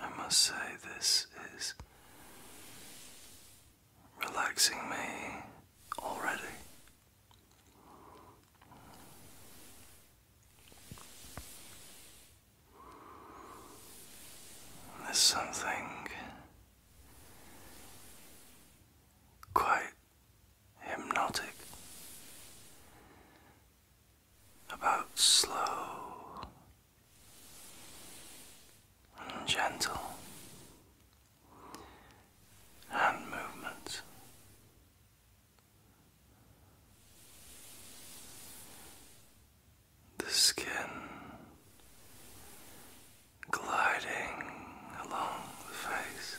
I must say, this is relaxing me already. There's something quite hypnotic about slow and gentle hand movements the skin gliding along the face,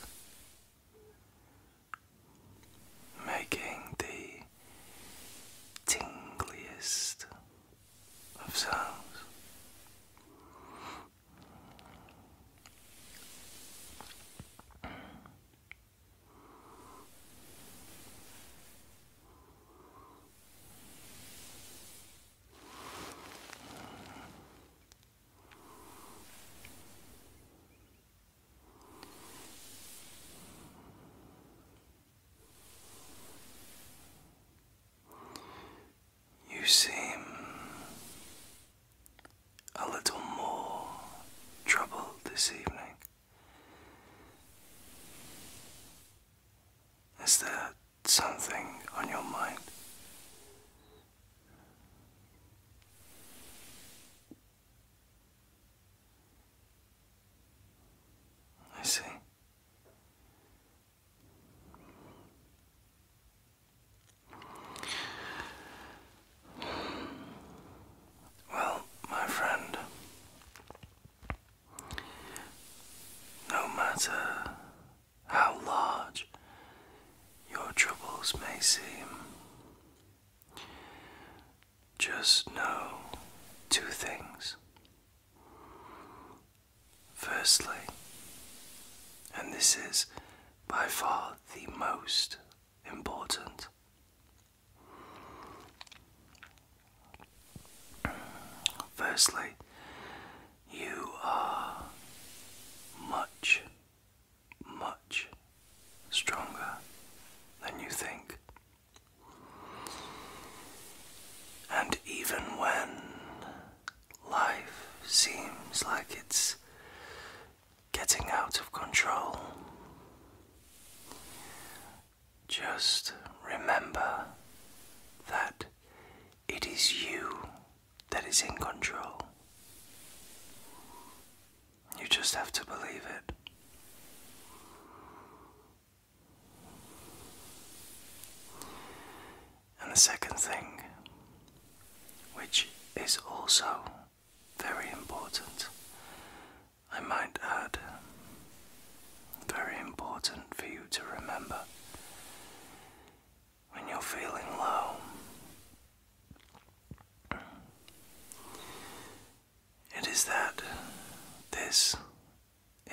making the tingliest of sounds. You seem a little more troubled this evening. Is there something on your mind? I see. Well, my friend, no matter how large your troubles may seem, just know two things. Firstly, and this is by far the most important, Firstly, you are much, much stronger than you think. And even when life seems like it's getting out of control, just remember that it is you that is in control. You just have to believe it. And the second thing, which is also very important, I might add, very important for you to remember when you're feeling low. It is that this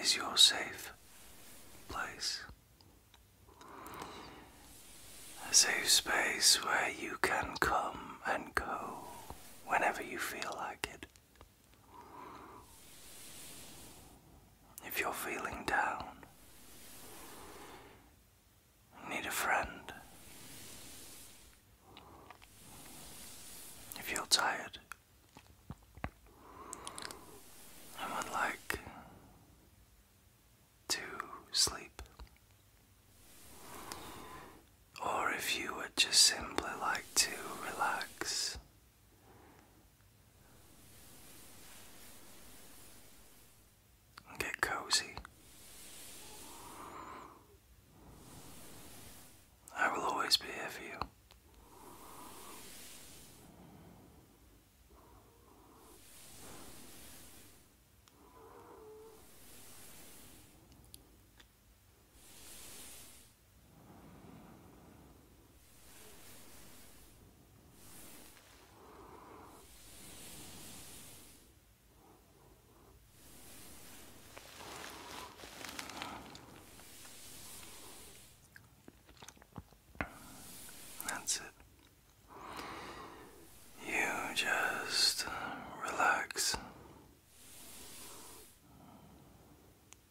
is your safe place. A safe space where you can come and go whenever you feel like it. If you're feeling down, need a friend. If you're tired and would like to sleep, or if you would just simply like to relax. Get cozy. I will always be here for you. That's it. You just relax.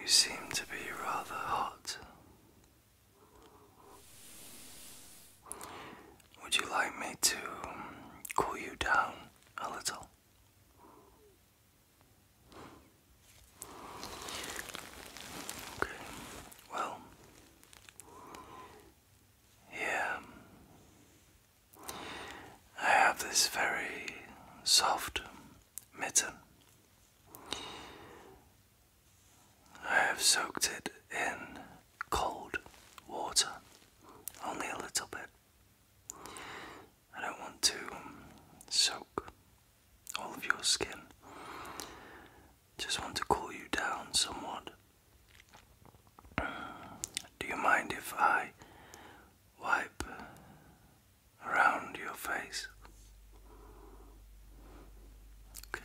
You seem to be rather hot. Would you like me to cool you down a little? Okay, well, yeah, I have this very soft mitten. I have soaked it in cold water, only a little bit. I don't want to soak all of your skin. Just want to cool you down somewhat. Do you mind if I wipe around your face? Okay.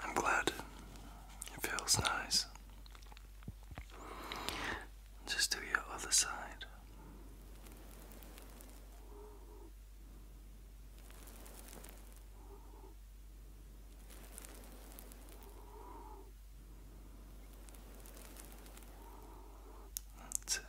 I'm glad. It feels nice. Just do your other side. That's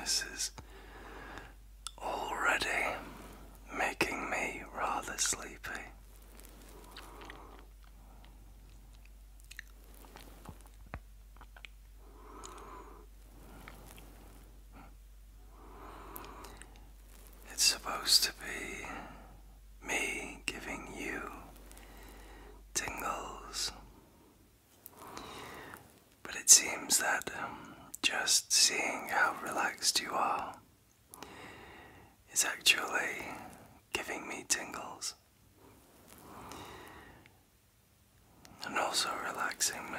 this is already making me rather sleepy. It's supposed to be me giving you tingles. But it seems that um, just seeing how relaxed you are is actually giving me tingles and also relaxing me.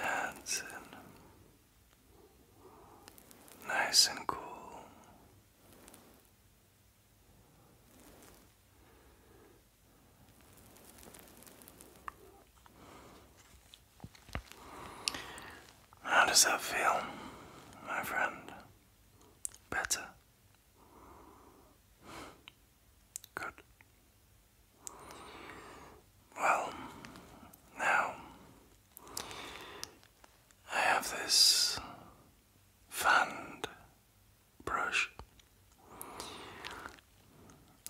That's it. Nice and cool. How does that feel, my friend? Better? Good. Well, now I have this fanned brush.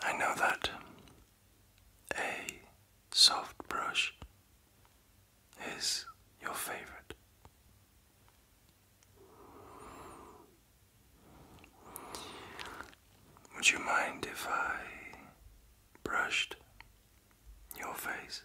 I know that a soft brush is your favorite? Would you mind if I brushed your face?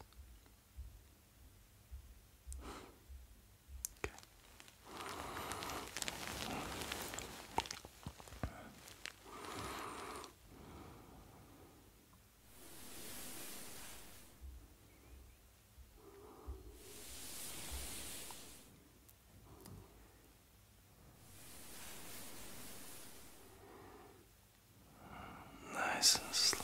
Nice and slow.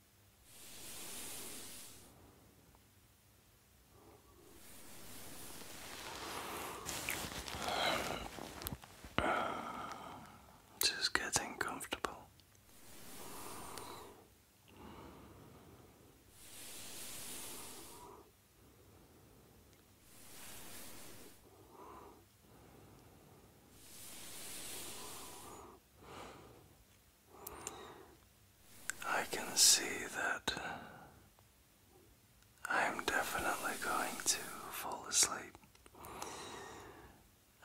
Just getting comfortable. I can see that I'm definitely going to fall asleep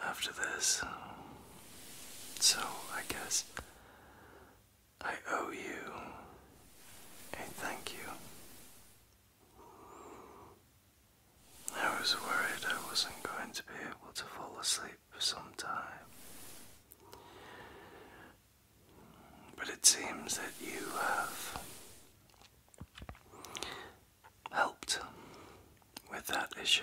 after this. So I guess I owe you a thank you. I was worried I wasn't going to be able to fall asleep for some time. But it seems that you have helped with that issue.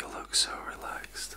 You look so relaxed.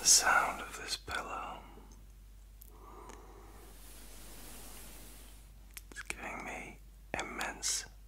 The sound of this pillow is giving me immense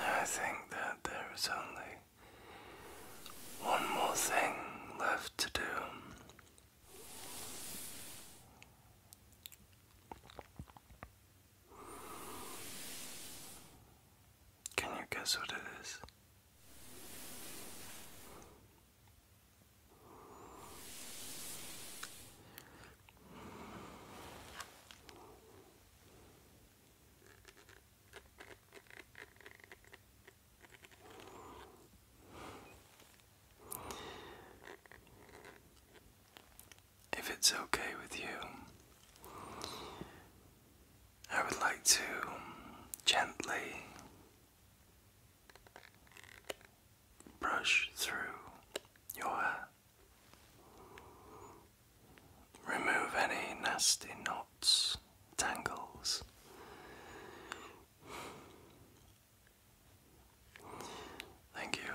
I think that there is only one more thing left to do. Can you guess what it is? If it's okay with you, I would like to gently brush through your hair. Remove any nasty knots, tangles. Thank you.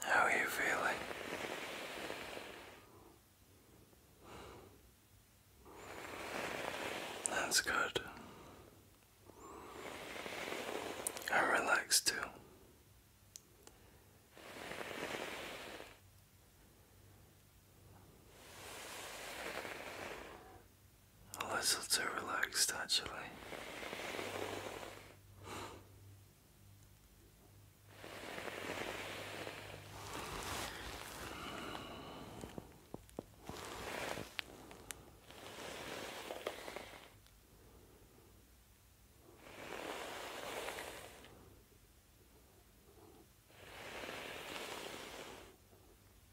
how are you feeling? That's good. I'm relaxed too. A little too relaxed, actually.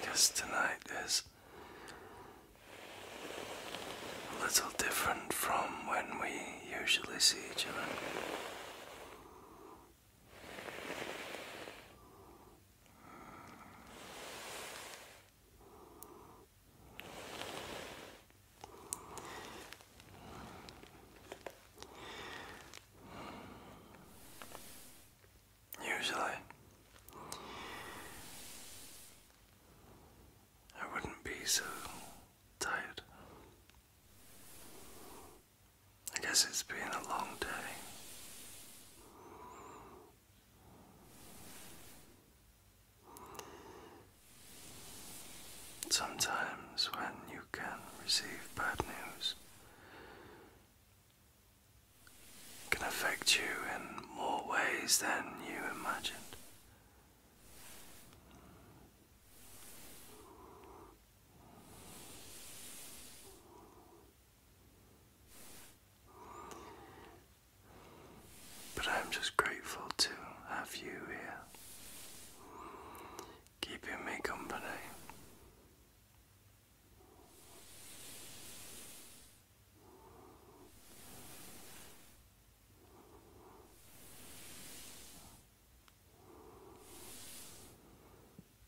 Because tonight is a little different from when we usually see each other. Usually, I wouldn't be so tired. I guess it's been a long day. Sometimes, when you can receive bad news, can affect you in more ways than you imagined. But I'm just grateful to have you here, keeping me company.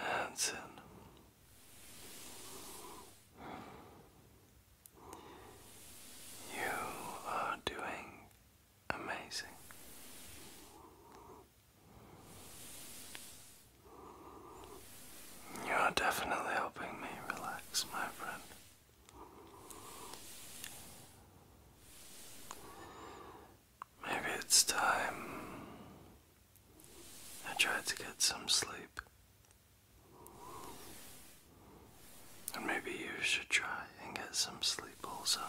That's You are doing amazing. You are definitely helping me relax, my friend. Maybe it's time I tried to get some sleep. And maybe you should try and get some sleep also.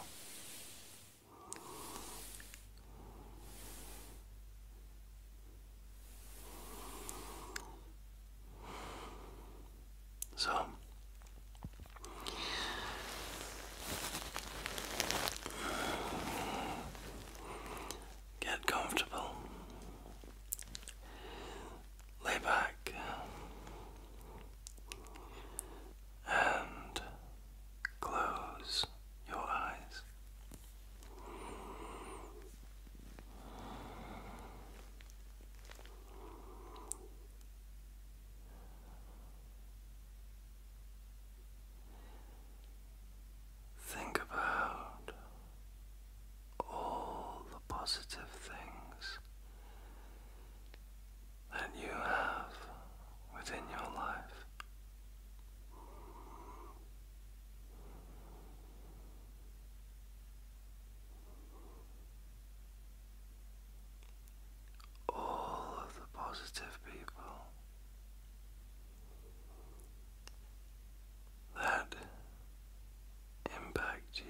So get comfortable. Lay back and close your eyes. Think about all the positive things that you have within your life all of the positive people that impact you.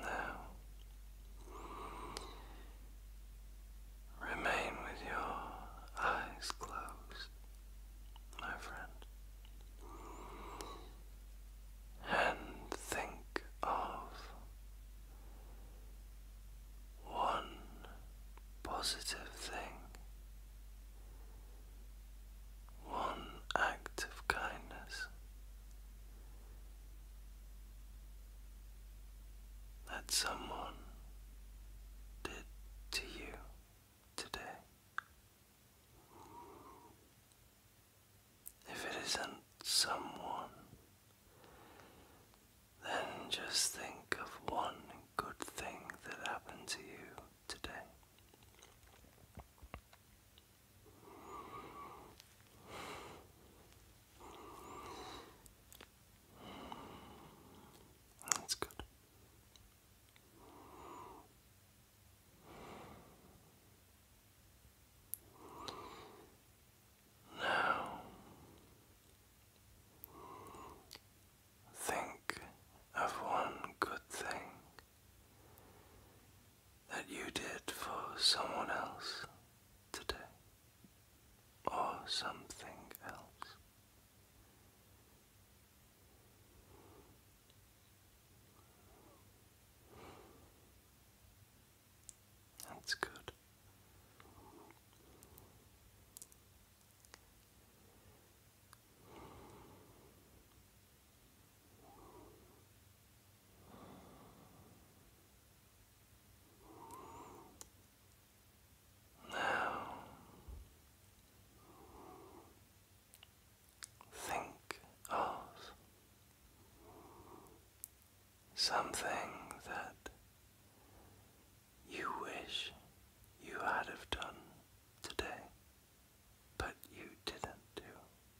Now, remain with your eyes closed, my friend, and think of one positive thing. One act of kindness that someone did to you today. If it isn't someone, then just think of one good thing that happened to you today. That's good. Now, think of one good thing that you did for someone else today or something else. That's good. Now think of something that you wish you had have done today, but you didn't do.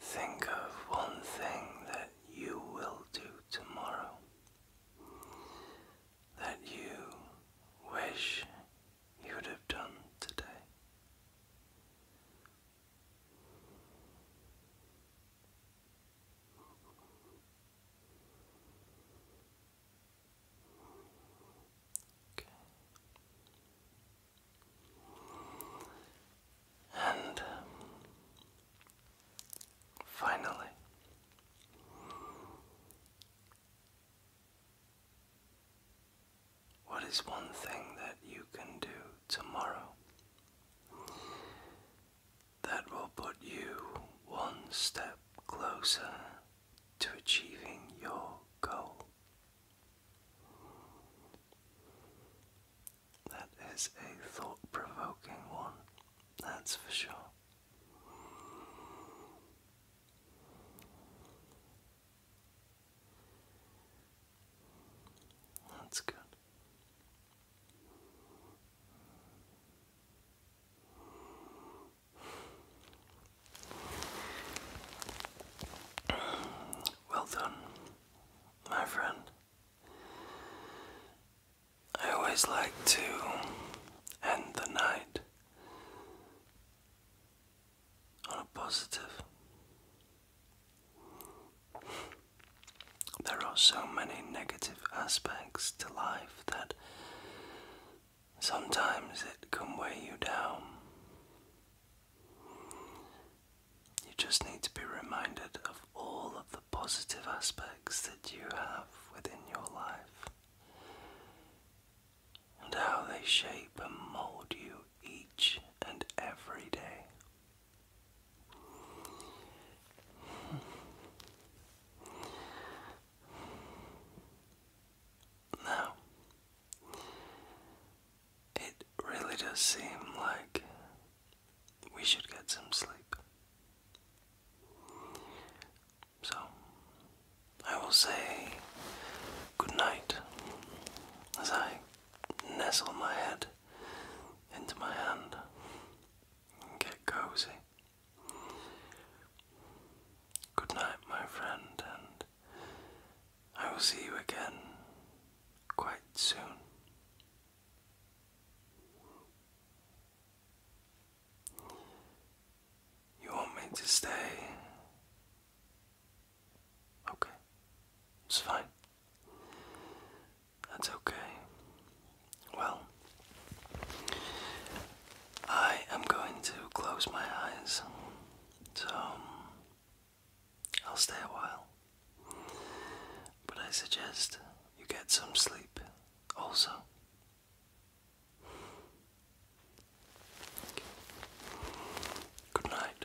Think of one thing that you will do tomorrow that you wish you would have done today. Okay. And finally, what is one thing that you can do tomorrow that will put you one step closer to achieving your goal? That is a thought provoking one, that's for sure. That's good. Well done my friend. I always like to end the night on a positive. There are so many negative aspects to life that sometimes it can weigh you down. You just need to be reminded of all of the positive aspects that you have within your life and how they shape and mold you each and every day. Hmm. Now, it really does seem like we should get some sleep. So, I will say good night as I nestle my head into my hand and get cozy. Good night, my friend, and I will see you again quite soon. You want me to stay? Okay, it's fine. That's okay. Well, I am going to close my eyes. So, I'll stay a while. But I suggest you get some sleep also. Good night.